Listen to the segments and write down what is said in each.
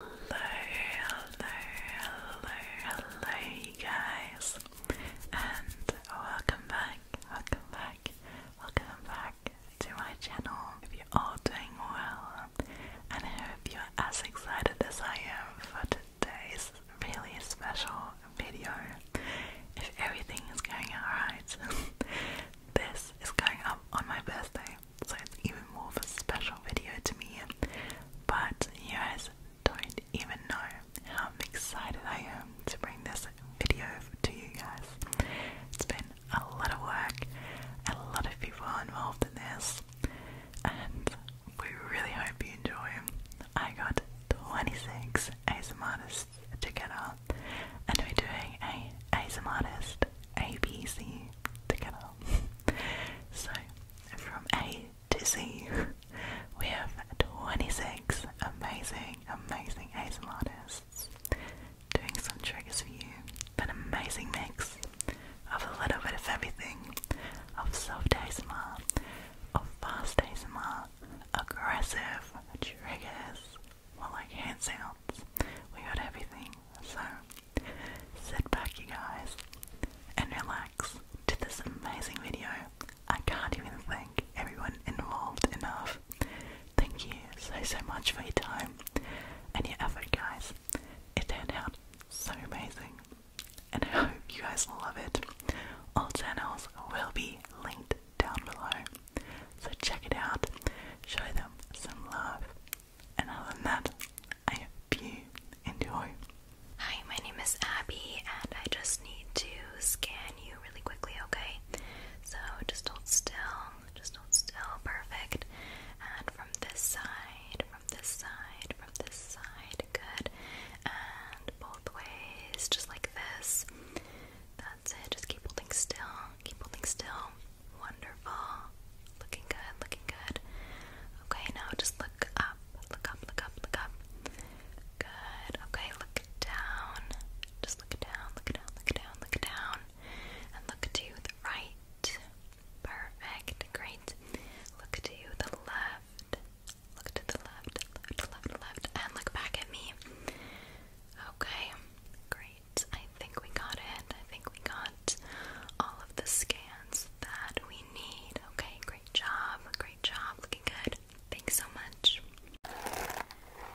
Hello, hello, hello, hello, you guys, and welcome back, welcome back, welcome back to my channel. Hope you're all doing well, and I hope you're as excited as I am for today's really special video. If everything is going alright, this is going up on my birthday so it's even more of a special video to me. But you guys don't even know how excited I am to bring this video to you guys. It's been a lot of work, a lot of people involved in this, and we really hope you enjoy. I got 26 ASM artists together, and we're doing a ASM artist ABC together. so, from A to Z, we have 26 amazing, amazing ASMR artists doing some triggers for you. An amazing mix of a little bit of everything of soft ASMR, of fast ASMR, aggressive triggers, more like hand sounds. We got everything. So, sit back, you guys, and relax to this amazing video. I can't even thank everyone involved enough. Thank you so, so much for your time and your effort, guys. It turned out so amazing, and I hope you guys love it. All channels will be linked down below, so check it out, show them some love, other than that, I enjoy. Hi, my name is Abby, and I just need to scan you really quickly, okay? So just hold still, just hold still, perfect. And from this side, from this side, from this side, good. And both ways, just like this. That's it, just keep holding still, keep holding still. Wonderful. Looking good, looking good. Okay, now just look up, look up, look up, look up. Good. Okay, look down. Just look down, look down, look down, look down. And look to the right. Perfect. Great. Look to the left. Look to the left, left, left, left, and look back at me. Okay, great. I I think we got it. I think we got all of the scans that we need. Okay, great job. Great job. Looking good. Thanks so much.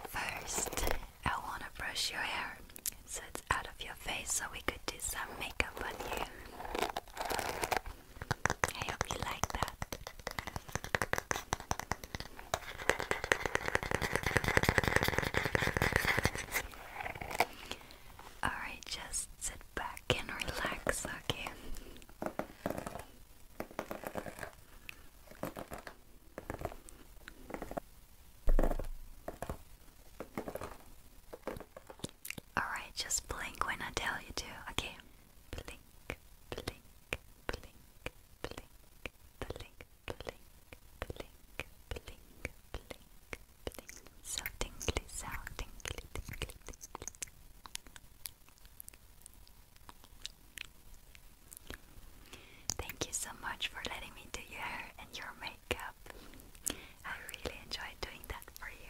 First, I want to brush your hair so it's out of your face so we could do some makeup on you. I hope you like that. Alright, just sit back and relax, okay? Alright, just blink when I tell you to, okay? Blink, blink, blink, blink, blink, blink, blink, blink, blink, Thank you so much for letting me do your hair and your makeup. I really enjoyed doing that for you.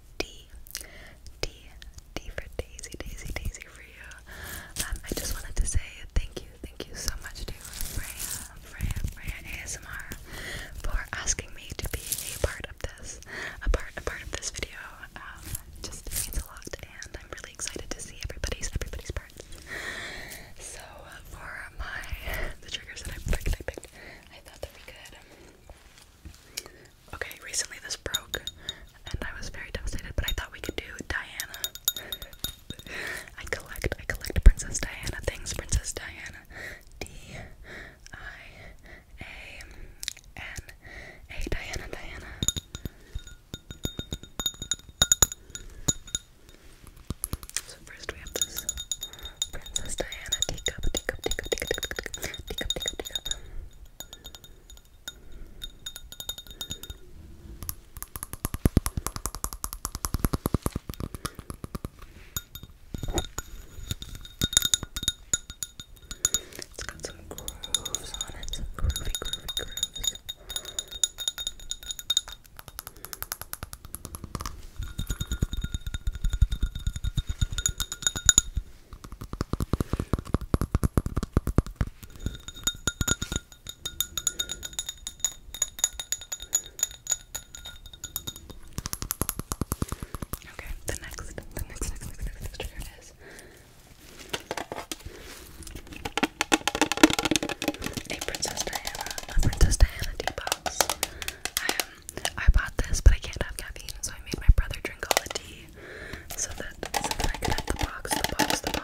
D. D. D for Daisy, Daisy, Daisy for you. Um, I just wanted to say thank you, thank you so much to Freya, Freya, Freya ASMR for asking me to be a part of this, a part, a part of this video. Um, just means a lot, and I'm really excited to see everybody's, everybody's parts. So uh, for my the triggers that I picked, I I thought that we could. Okay, recently this broke and I was very devastated, but I thought we could do Diana. I collect, I collect Princess Diana things. Princess Diana. D I A N A Diana Diana. So first we have this Princess Diana Pick up, pick up, pick up. It's got some grooves on it, some groovy, groovy grooves. Okay, the next, the next, next, next, next, next trigger is a Princess Diana, a Princess Diana deep box. I have I bought this, but I can't have caffeine, so I made my brother drink all the tea so that, so that I could have the box, the box, the box.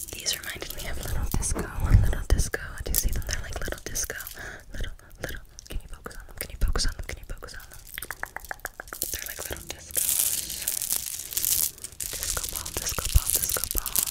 These reminded me of Little Disco. Little Disco. Do see them? They're like Little Disco. Little, little. Can you focus on them? Can you focus on them? Can you focus on them? They're like Little Discos. Disco ball, disco ball, disco balls.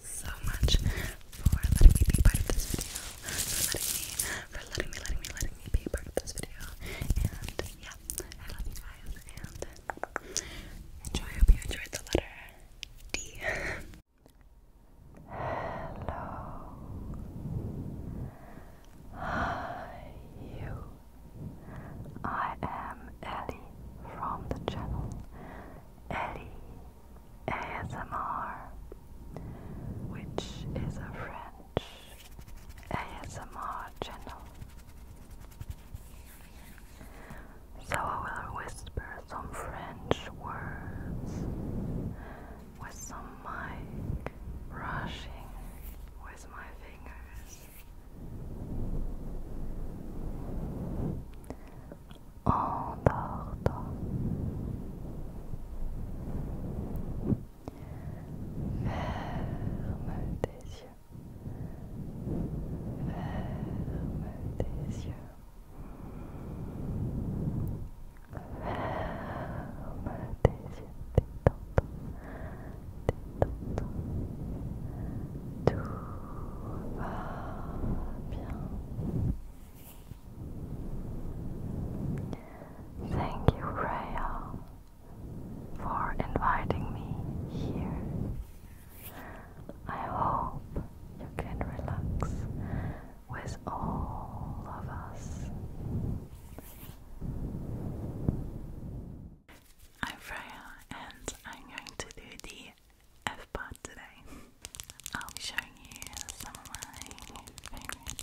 so much for letting me be part of this video. For letting me, for letting me, letting me, letting me be part of this video. And yeah, I love you guys enjoy. hope you enjoyed the letter D. Hello. Hi, you. I am Ellie from the channel Ellie ASMR, which is a French ASMR channel. So I will whisper some French words with some mic brushing with my fingers. endors-toi. Ferme tes yeux. Ferme tes yeux. Ferme tes yeux. Détends-toi. Détends-toi. Tout va bien. Thank you, Rhea, for inviting me here. I hope you can relax with all of us. I'm Freya and I'm going to do the F pod today. I'll be showing you some of my favorite triggers.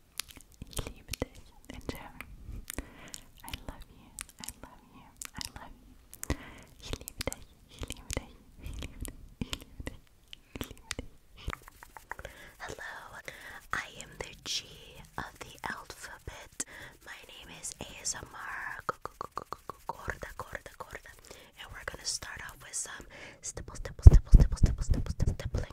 Ich liebe dich in German. I love you, I love you, I love you. Ich liebe dich, ich liebe dich, ich liebe dich, ich liebe dich, ich liebe dich. Hello, I am the G of the alphabet. My name is ASMR Gorda Gorda Gorda. And we're gonna start off with some stipple, stipple, stipple, stipple, stipple, stipple, stipple,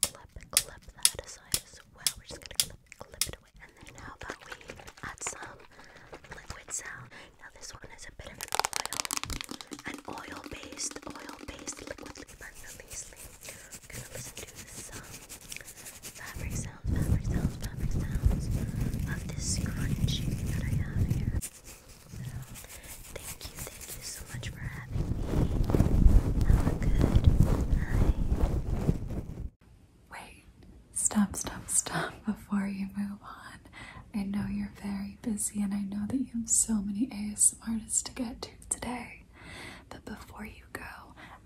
clip, clip that aside as well. We're just gonna clip, clip it away. And then how about we add some liquid sound? Now this one is a bit of an oil, an oil-based, oil-based liquid leaper release. we listen to some fabric sounds, fabric sounds, fabric sounds of this scrunchie that I have here. Thank you, thank you so much for having me. Have good night. Wait, stop, stop, stop before you move on. I know you're very busy and I know that you have so many ASMR artists to get to today. But before you go,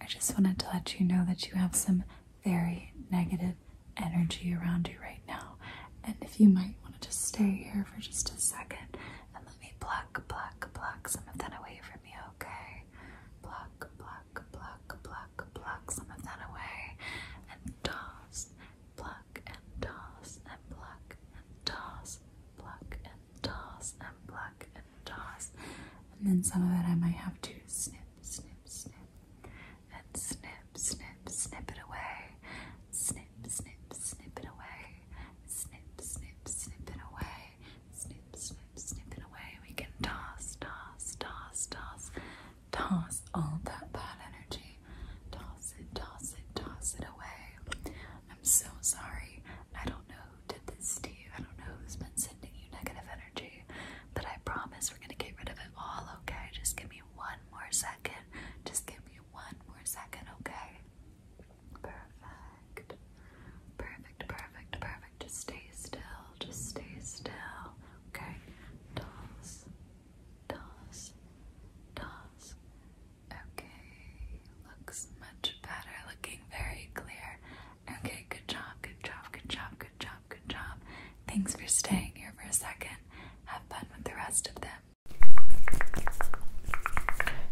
I just wanted to let you know that you have some very negative energy around you right now. And if you might want to just stay here for just a second and let me block, block, block some of that away from okay? Pluck, pluck, pluck, pluck, pluck some of that away and toss, pluck and toss and pluck and toss, pluck and toss and pluck and toss. And then some of it I might have to snip, snip, snip, and snip, snip, snip it away, snip, snip, snip it away, snip, snip, snip it away snip, snip, snip it away. We can toss, toss, toss, toss, toss all that bad energy. Toss it, toss it, toss it away. I'm so sorry. I don't know who did this to you. I don't know who's been sending you negative energy, but I promise we're gonna get rid of it all, okay? Just give me one more second. Just give me one more second, okay? Perfect. Perfect, perfect, perfect. Just stay still. Just stay still. Okay. Toss. Toss. Toss. Okay. Looks much better. Looking very clear. Okay, good job, good job, good job, good job, good job. Thanks for staying here for a second. Have fun with the rest of them.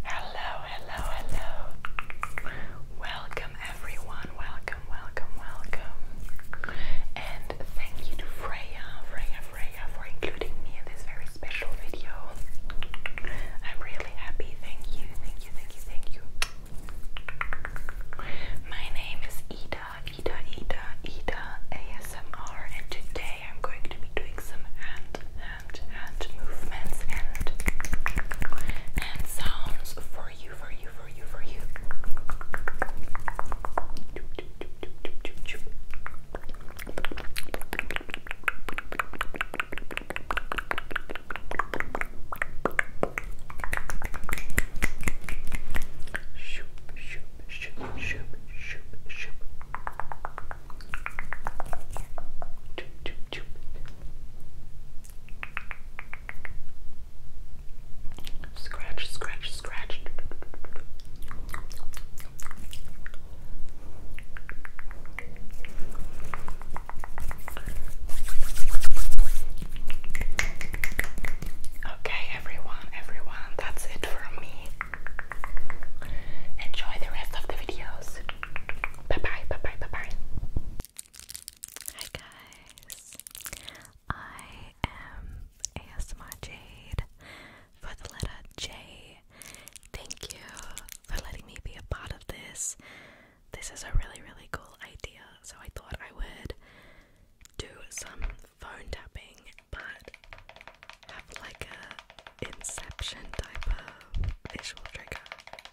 Hello, hello, hello. Welcome, everyone. Welcome, welcome, welcome. And thank you to Freya, Freya, Freya for including me in this very special video. I'm really happy. Thank you, thank you, thank you, thank you. My name is Ida, Ida, Ida, Ida ASMR, and today I'm going to be doing some hand and movements and and sounds for you, for you, for you, for you. Shoop, shoop, shoop, shoop, shoop, shoop. Choop, choop, Scratch, scratch, scratch. Okay, everyone, everyone, that's it for me. Enjoy the rest of the videos. Bye bye, bye bye, bye bye. Hi guys, I am ASMR Jade for the letter J. Thank you for letting me be a part of this. This is a really, really cool idea, so I thought I would do some phone tapping but have like a inception type of visual trigger.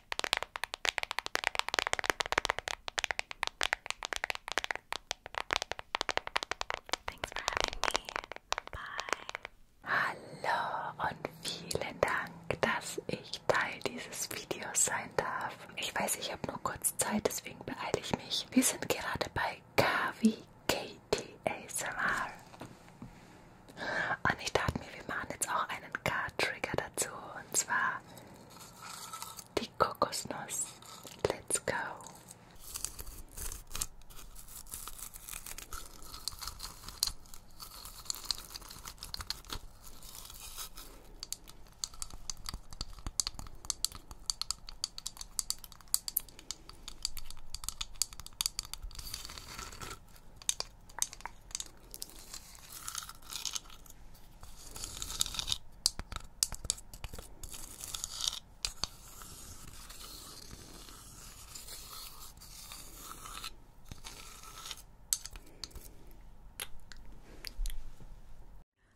Thanks for having me. Bye. Hallo und vielen Dank, dass ich Teil dieses Videos sein darf. Ich weiß, ich habe nur kurz Zeit, deswegen beeile ich mich. Wir sind gerade bei KVKT ASMR. Und ich dachte mir, wir machen jetzt auch einen Card-Trigger dazu. Und zwar die Kokosnuss. Let's go.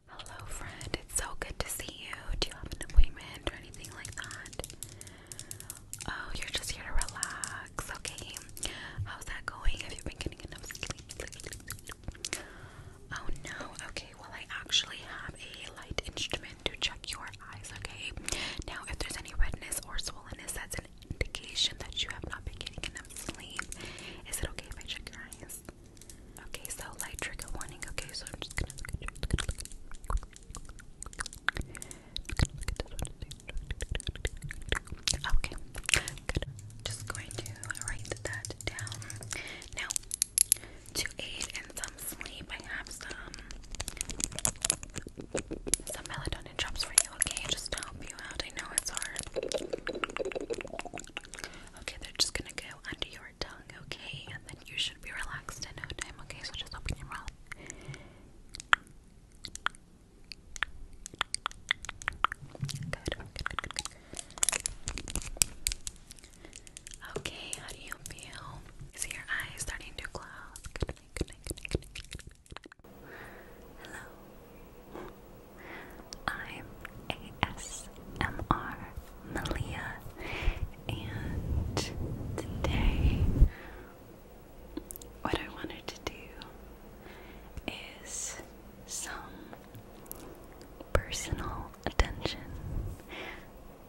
Hello, friend. It's so good to see you. Do you have an appointment or anything like that? Oh, you're just here to relax. Okay. How's that going? Have you been getting enough sleep? Oh no. Okay. Well, I actually have a light instrument to check your eyes. Okay. Now, if there's any redness or swollenness, that's an indication that you have not been getting enough sleep. Is it okay if I check your eyes? Okay. So, light trigger warning. Okay. So, I'm just gonna look at you. Look this one. Okay, Just going to write that down. Now, to aid in some sleep, I have some some melatonin drops for you. Okay, just to help you out. I know it's hard. Okay, they're just gonna go under your tongue. Okay, and then you should be relaxed in Okay, so just open your mouth. Good, Okay, how do you feel? Is your eyes starting to close? good night, good night, good night. Hello. I'm ASMR Malia, and today what I wanted to do is some personal attention.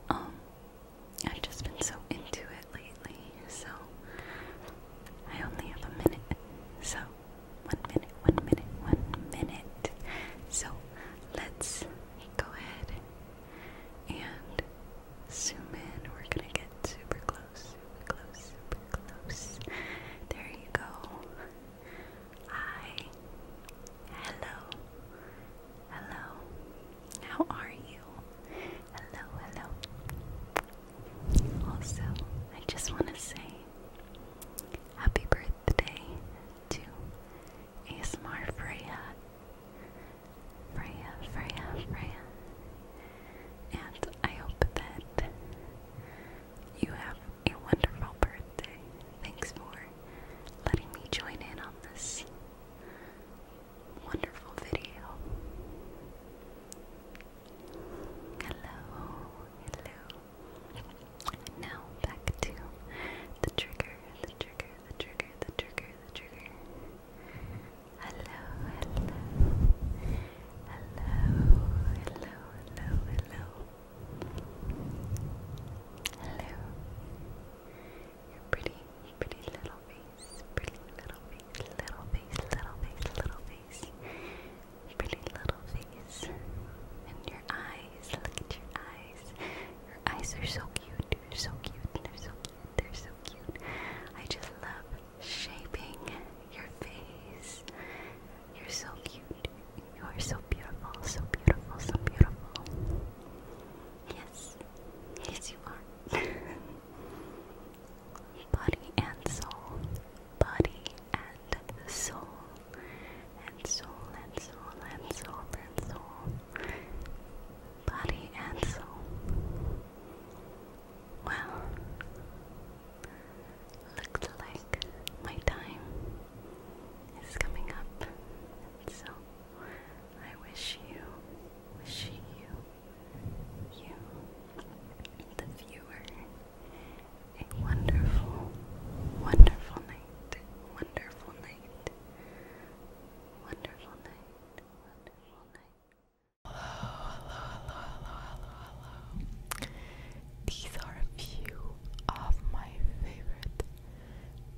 Um, I've just been so into it lately, so I only have a minute. So, one minute, one minute, one minute. So, let's go ahead and zoom in. We're gonna get super close, super close, super close. There you go. Hi. Hello. Hello. How are you? Hello, hello. Also, I just want to say happy birthday to ASMR Freya. Freya, Freya, Freya. And I hope that you have a wonderful birthday. Thanks for letting me join in on this wonderful video. Hello, hello. Now back to the trigger, the trigger, the trigger, the trigger, the trigger. Hello, hello, hello, hello, hello, hello. Hello. Your pretty, pretty little face, pretty little face, little face, little face, little face. Pretty little face. And your eyes, look at your eyes. Your eyes are so cute, they're so cute, they're so cute, they're so cute. I just love shaping your face. You're so cute. You are so beautiful, so beautiful, so beautiful. Yes, yes, you are. Body and soul. Body and soul. And soul and soul and soul and soul. Body and soul. Well, looks like my time is coming up, so I wish you, wish you, you, the viewer, a wonderful, wonderful night, wonderful night, wonderful night, wonderful night. Hello, hello, hello, hello, hello, hello. These are a few of my favorite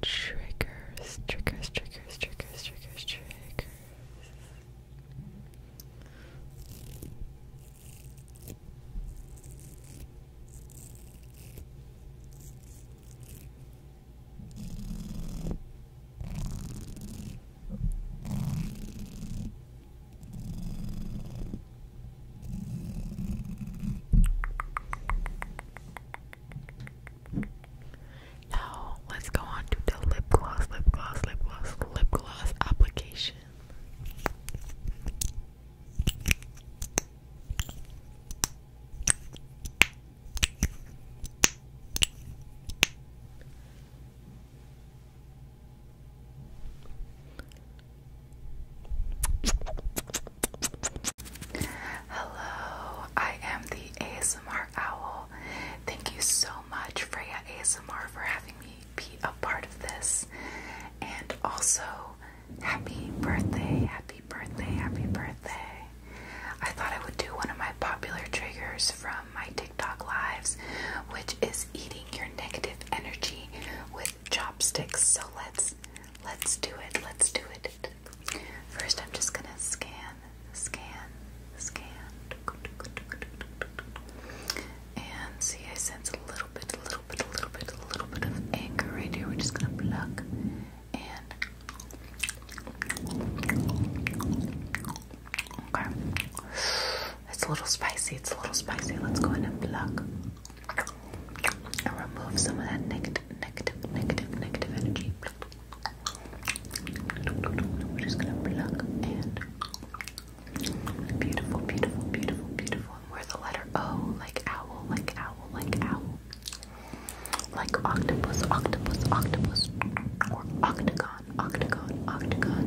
triggers, triggers, triggers, triggers, triggers, triggers. Now let's go on to the lip gloss, lip gloss, lip gloss, lip gloss application. Hello, I am the ASMR Owl. Thank you so much, Freya ASMR, for having me be a part of this. And also, happy birthday, happy birthday, happy birthday. I thought I would do one of my popular triggers from my TikTok lives, which is eating your negative energy with chopsticks. So let's let's do it. Let's do it. First, I'm just gonna scan, scan, scan, and see. I sense a little bit, a little bit, a little bit, a little bit of anger right here. We're just gonna pluck and. Okay. It's a little spicy. It's a little spicy. Let's go ahead and pluck and remove some of that negative, negative, negative, negative energy. We're just gonna pluck and beautiful, beautiful, beautiful, beautiful. And where's the letter O? Like owl, like owl, like owl. Like octopus, octopus, octopus, or octagon octagon, octagon,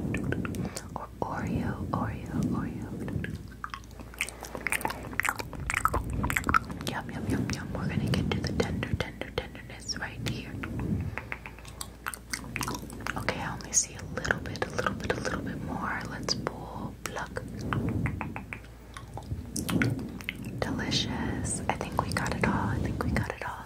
or Oreo, Oreo, Oreo. Yum, yum, yum, yum. We're gonna get to the tender, tender, tenderness right here. Okay, I only see a little bit, a little bit, a little bit more. Let's pull, pluck. Delicious. I think we got it all. I think we got it all.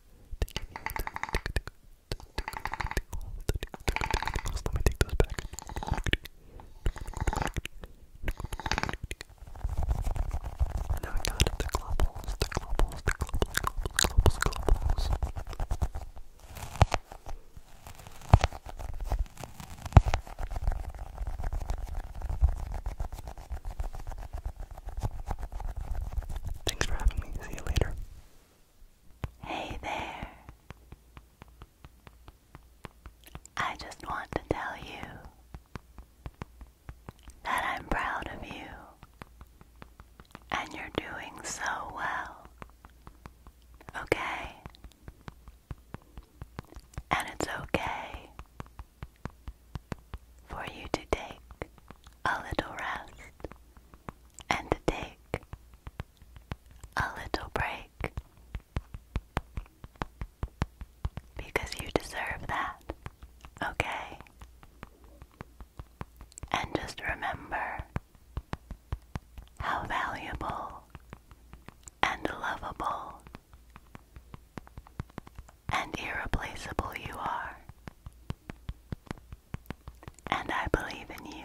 let me take those back. And now we got the globals, the globals, the globals, globals, globals. Thanks for having me. See you later. Hey there. I just want to tell you that I'm proud of you and you're doing so well. Okay? And it's okay for you to take a little rest and take a little break because you deserve that, okay? And just remember how valuable and lovable and irreplaceable you are. And I believe in you.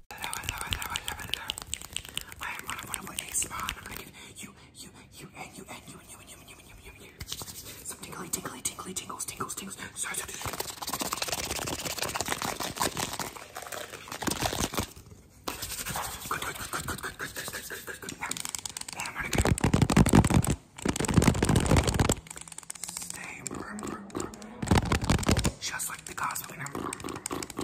Hello, hello, hello, hello, hello. I am one of one of one ASMR and I'm gonna give you, you, you, and you, and you, and you, and you, and you, and you, and you, and you. Some tingly, tingly, tingly, tingles, tingles, tingles. Sorry, sorry, sorry. Good, good, good, good, good, good, good, good, good, good. Now, now I'm gonna go. Stay, just like the cosmic number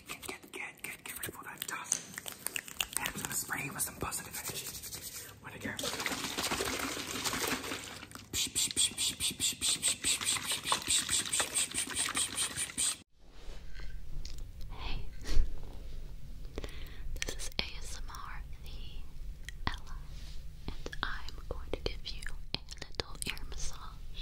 I'm gonna spray you with some positive energy. this is ASMR, the Ella, and I'm going to give you a little ear massage.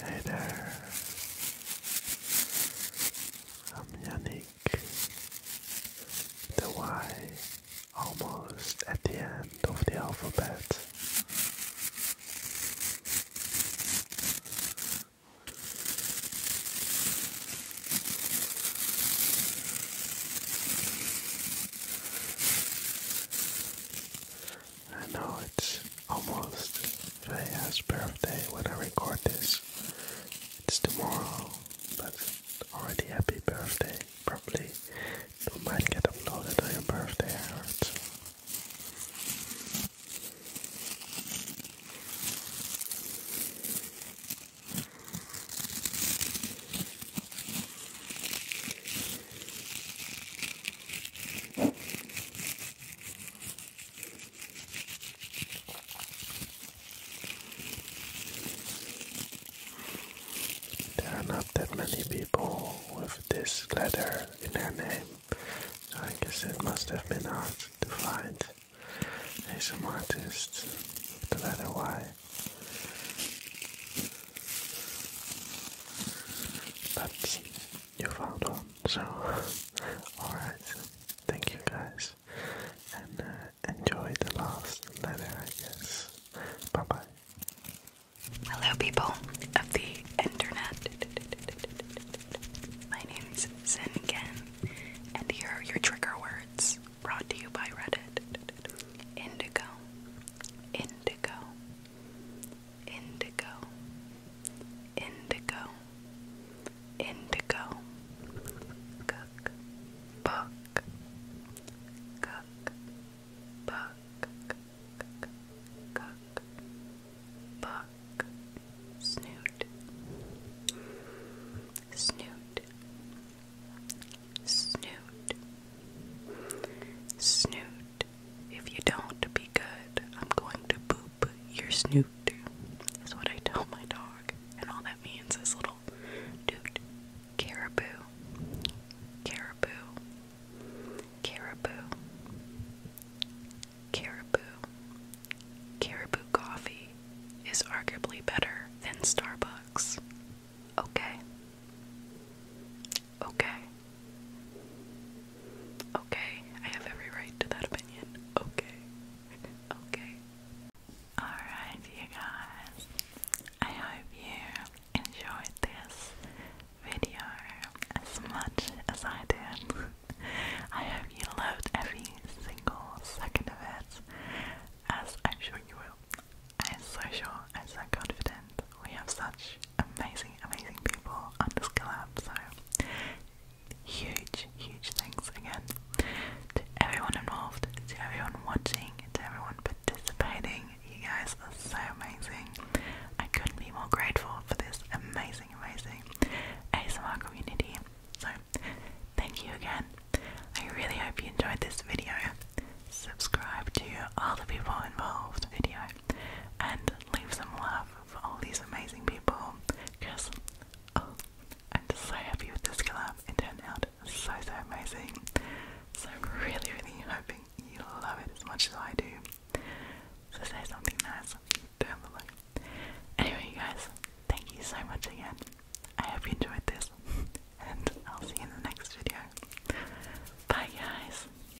Hey there. I'm Yannick. The Y almost at the end of the alphabet. I know it's almost Freya's birthday when I record this. It's tomorrow, but already happy birthday. Probably it might get uploaded on your birthday, I there are not that many people with this letter in their name, so I guess it must have been hard to find a some artist with the letter Y. But you found one. So, alright, thank you guys, and uh, enjoy the last letter, I guess. Bye bye. Hello, people of the internet. My name is Zenken, and here are your trigger words brought to you by Reddit Indigo, Indigo, indigo, indigo, indigo, cook, book, cook, book, cook, book, snoot, snoot, snoot, snoot good. If you don't be good, I'm going to boop your snoot. Is what I tell my dog, and all that means is little dude, caribou, caribou, caribou, caribou. Caribou coffee is arguably better than Starbucks. Okay. Okay. Okay, I have every right to that opinion. Okay. Okay. Alright, you guys. I hope you enjoyed this video as much as I did. I hope you loved every single second of it, as I'm sure you will. I'm so I'm confident. We have such amazing, amazing people on this collab. So, huge, huge thanks again to everyone involved, to everyone watching, to everyone participating. You guys are so amazing. I couldn't be more grateful for this amazing, amazing ASMR community. So, thank you again. I really hope you enjoyed this video. Subscribe to all the people involved video and leave some love for all these amazing people because oh, I'm just so happy with this collab. It turned out so so amazing. So I'm really really hoping you love it as much as I do. So say something nice down below. Anyway guys, thank you so much again. I hope you enjoyed this and I'll see you in the next video. Bye guys.